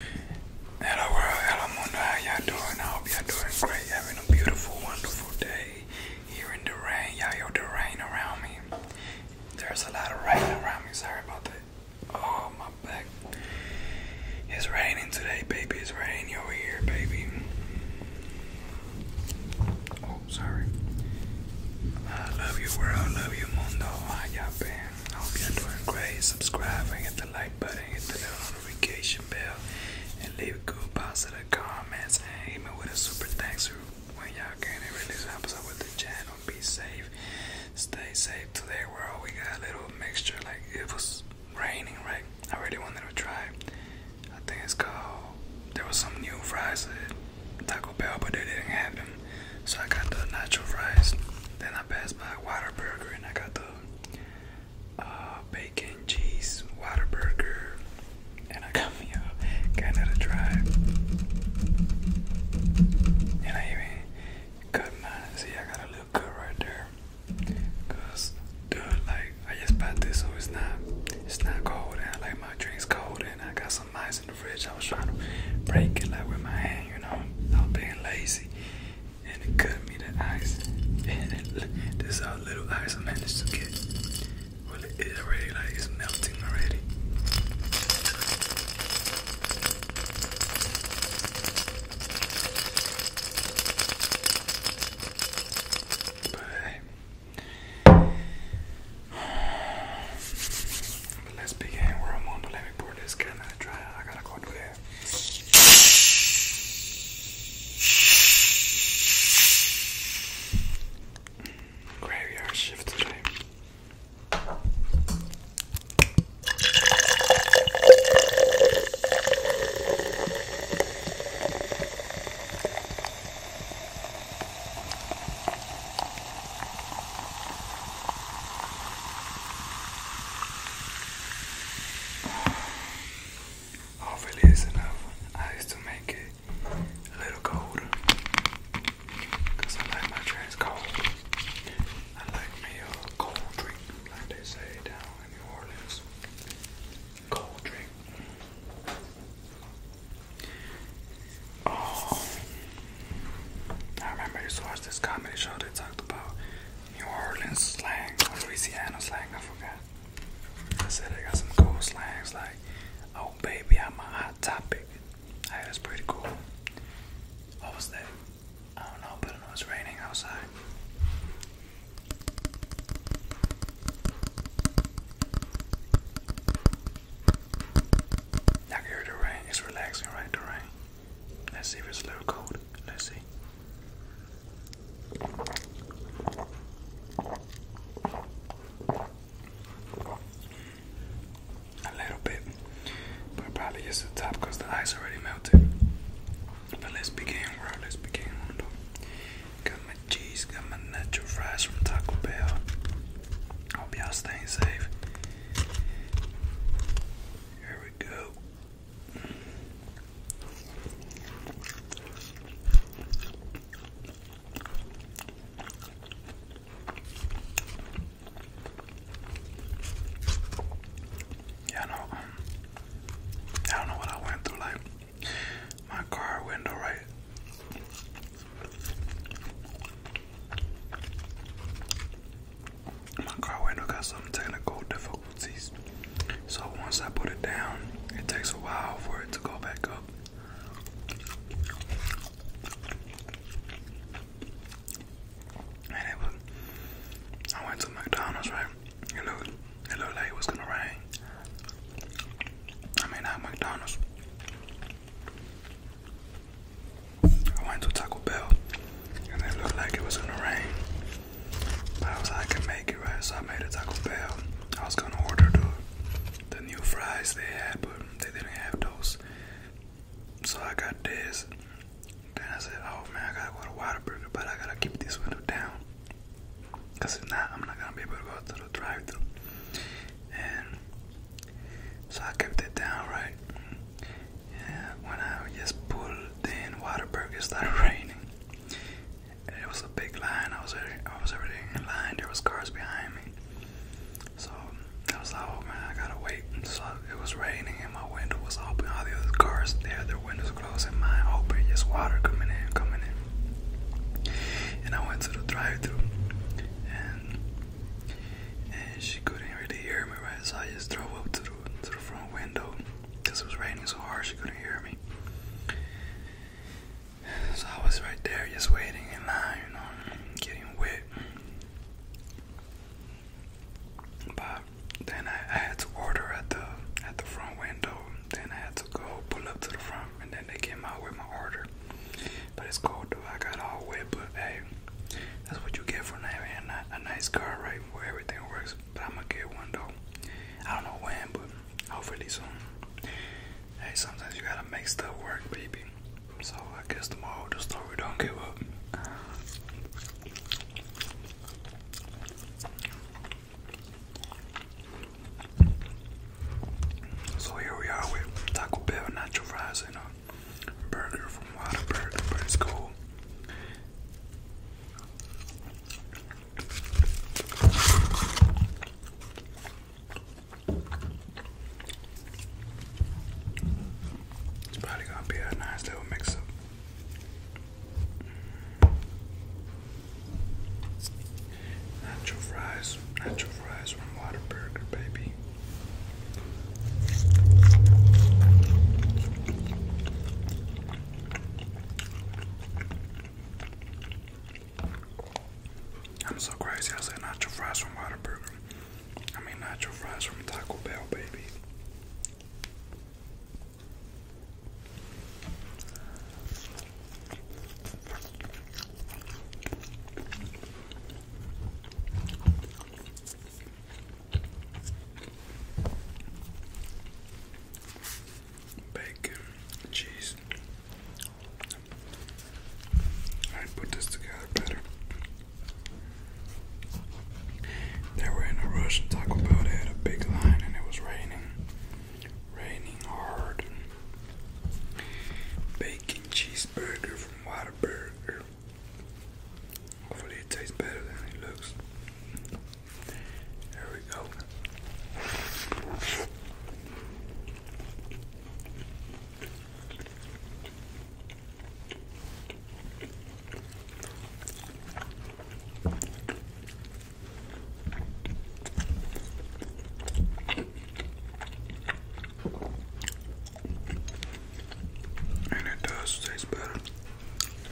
Hello world, hello mundo, how y'all doing? I hope y'all doing great, having a beautiful, wonderful day here in the rain. you the rain around me. There's a lot of rain around me, sorry about that. Oh, my back. It's raining today, baby. It's raining over here, baby. Oh, sorry. I love you world, I love you mundo. How y'all been? I hope y'all doing great. Subscribe hit the like button, hit the notification bell, and leave good positive comments. And hit with a super thanks when y'all can. It really helps out with the channel. Be safe, stay safe. Today, we're all we got a little mixture. Like it was raining, right? I really wanted to try. I think it's called. There was some new fries at Taco Bell, but they didn't have them. So I got the nacho fries. Then I passed by Water Burger and I got the uh, bacon, cheese, Whataburger, and I got me a Canada Dry. And I even cut mine. See, I got a little cut right there. Cause, dude, like, I just bought this, so it's not, it's not cold. And I like my drinks cold, and I got some ice in the fridge. I was trying to break it like with my hand, you know. I was being lazy, and it cut me the ice. And it, this is how little ice I managed to get. Well, it is already like it's melting already. But, but let's begin. We're on Let me pour this can and dry. I gotta go do there. Graveyard shift today. Hopefully it's enough ice to make it a little colder. I like my drinks cold. I like me a cold drink, like they say down in New Orleans. Cold drink. Oh, I remember you watched this comedy show they talked about New Orleans slang Louisiana slang, I forgot. I said I got some cool slangs like, oh baby, I'm a hot topic. Hey, that's pretty cool. What was that? I don't know, but I know raining outside. I can hear the rain. It's relaxing, right? The rain. Let's see if it's a little cold. Let's see. A little bit, but probably just the top because the ice already melted. But let's begin, bro. Let's begin. Got my cheese, got my nacho fries from Taco Bell. Hope y'all staying safe. Here we go. Yeah, I um, I don't know what I went through. Like my car window, right? my car window got some technical difficulties. So once I put it down, it takes a while for it to go back up. And I went to McDonald's, right? It looked, it looked like it was gonna rain. I mean, not McDonald's. I went to Taco Bell and it looked like it was gonna rain. But I was like, I can make it right, so I made it Taco Bell. I was gonna order the the new fries they had, but they didn't have those. So I got this. and I said, oh man, I gotta go to Whataburger, but I gotta keep this window down. Cause if not, I'm not gonna be able to go through the drive through And so I kept it down, right? Yeah, when I just pulled in Waterberg, it started raining. It was a big line. I was I was already in line. There was cars behind me. So I was like, oh man, I gotta wait. So it was raining and my window was open. All the other cars, they had their windows closed and mine open. Just water coming in, coming in. And I went to the drive-through, and and she couldn't really hear me, right? So I just drove up to the, her front window because it was raining so hard she couldn't hear me. So I was right there just waiting in line, you know, getting wet. But then I, had to order at the at the front window. Then I had to go pull up to the front, and then they came out with my order. But it's cold though. I got all wet, but hey, that's what you get for having a, a nice car, right? Where everything works. But I'm gonna get one though. I don't know when, but hopefully soon. Hey, sometimes you gotta make stuff work, baby. So I guess tomorrow just the we don't give up. So here we are with Taco Bell nacho fries and a uh, burger from Whataburger, but it's cool. It's probably gonna be a nice little mix up. Natural fries, natural fries from Waterburger, baby. I'm so crazy. I said nacho fries from Whataburger. I mean nacho fries from Taco Bell, baby bacon, cheese. I put this together better. They were in a rush and Taco Bell they had a big line and it was raining. Raining hard. Bacon cheeseburger from Whataburger. Hopefully it tastes better than it looks. There we go. And it does taste better.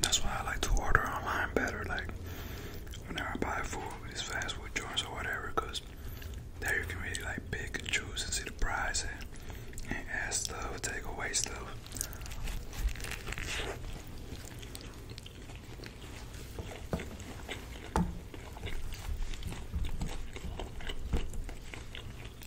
That's why I like to order online better. Like whenever I buy food, these fast food joints or whatever, because there you can really like pick and choose and see the price and, ask add stuff, take away stuff.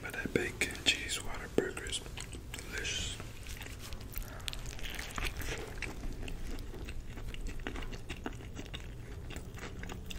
But that bacon cheese water burger is delicious.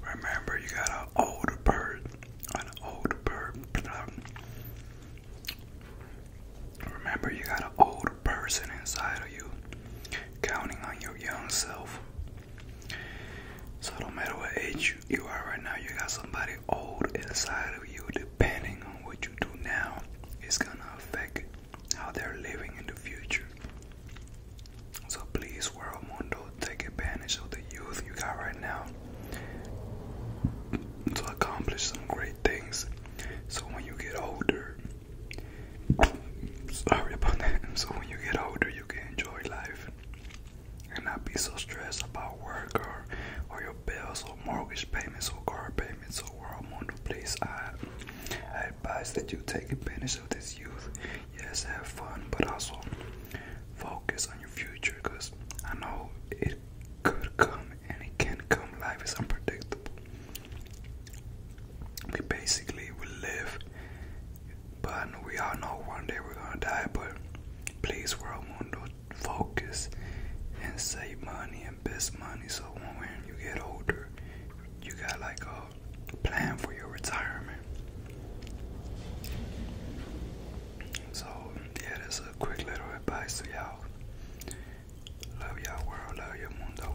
remember you got an older bird, an older bird. Remember you got an older person inside of you, counting on your young self. So no matter what age you, are right now, you got somebody old inside of you. Depending on what you do now, it's gonna affect how they're living in the future. So please, world mundo, take advantage of the youth you got right now to accomplish some great things. So when you get older, sorry about that. So when you get older, you can enjoy life and not be so stressed about work or or your bills or mortgage payments or car payments or world on the place. I advise that you take advantage of this youth yes have fun but also focus on your future because I know it could come and it can come life is unpredictable we basically will live but we all know one day we're gonna die, but please world mundo focus and save money and invest money so when you get older you got like a plan for your retirement. So yeah that's a quick little advice to y'all. Love y'all world, love your mundo.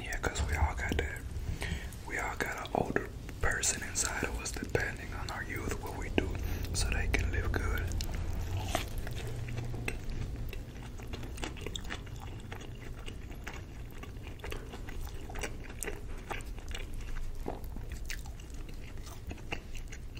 Yeah, we all got that. We all got an older person inside of us, depending on our youth, what we do, so they can live good.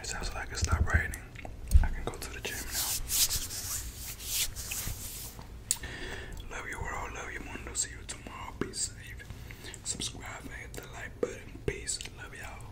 It sounds like it's not raining. I can go to the gym now. Love you world, love you mundo. See you tomorrow. Be safe. Subscribe and hit the like button. Peace. Love y'all.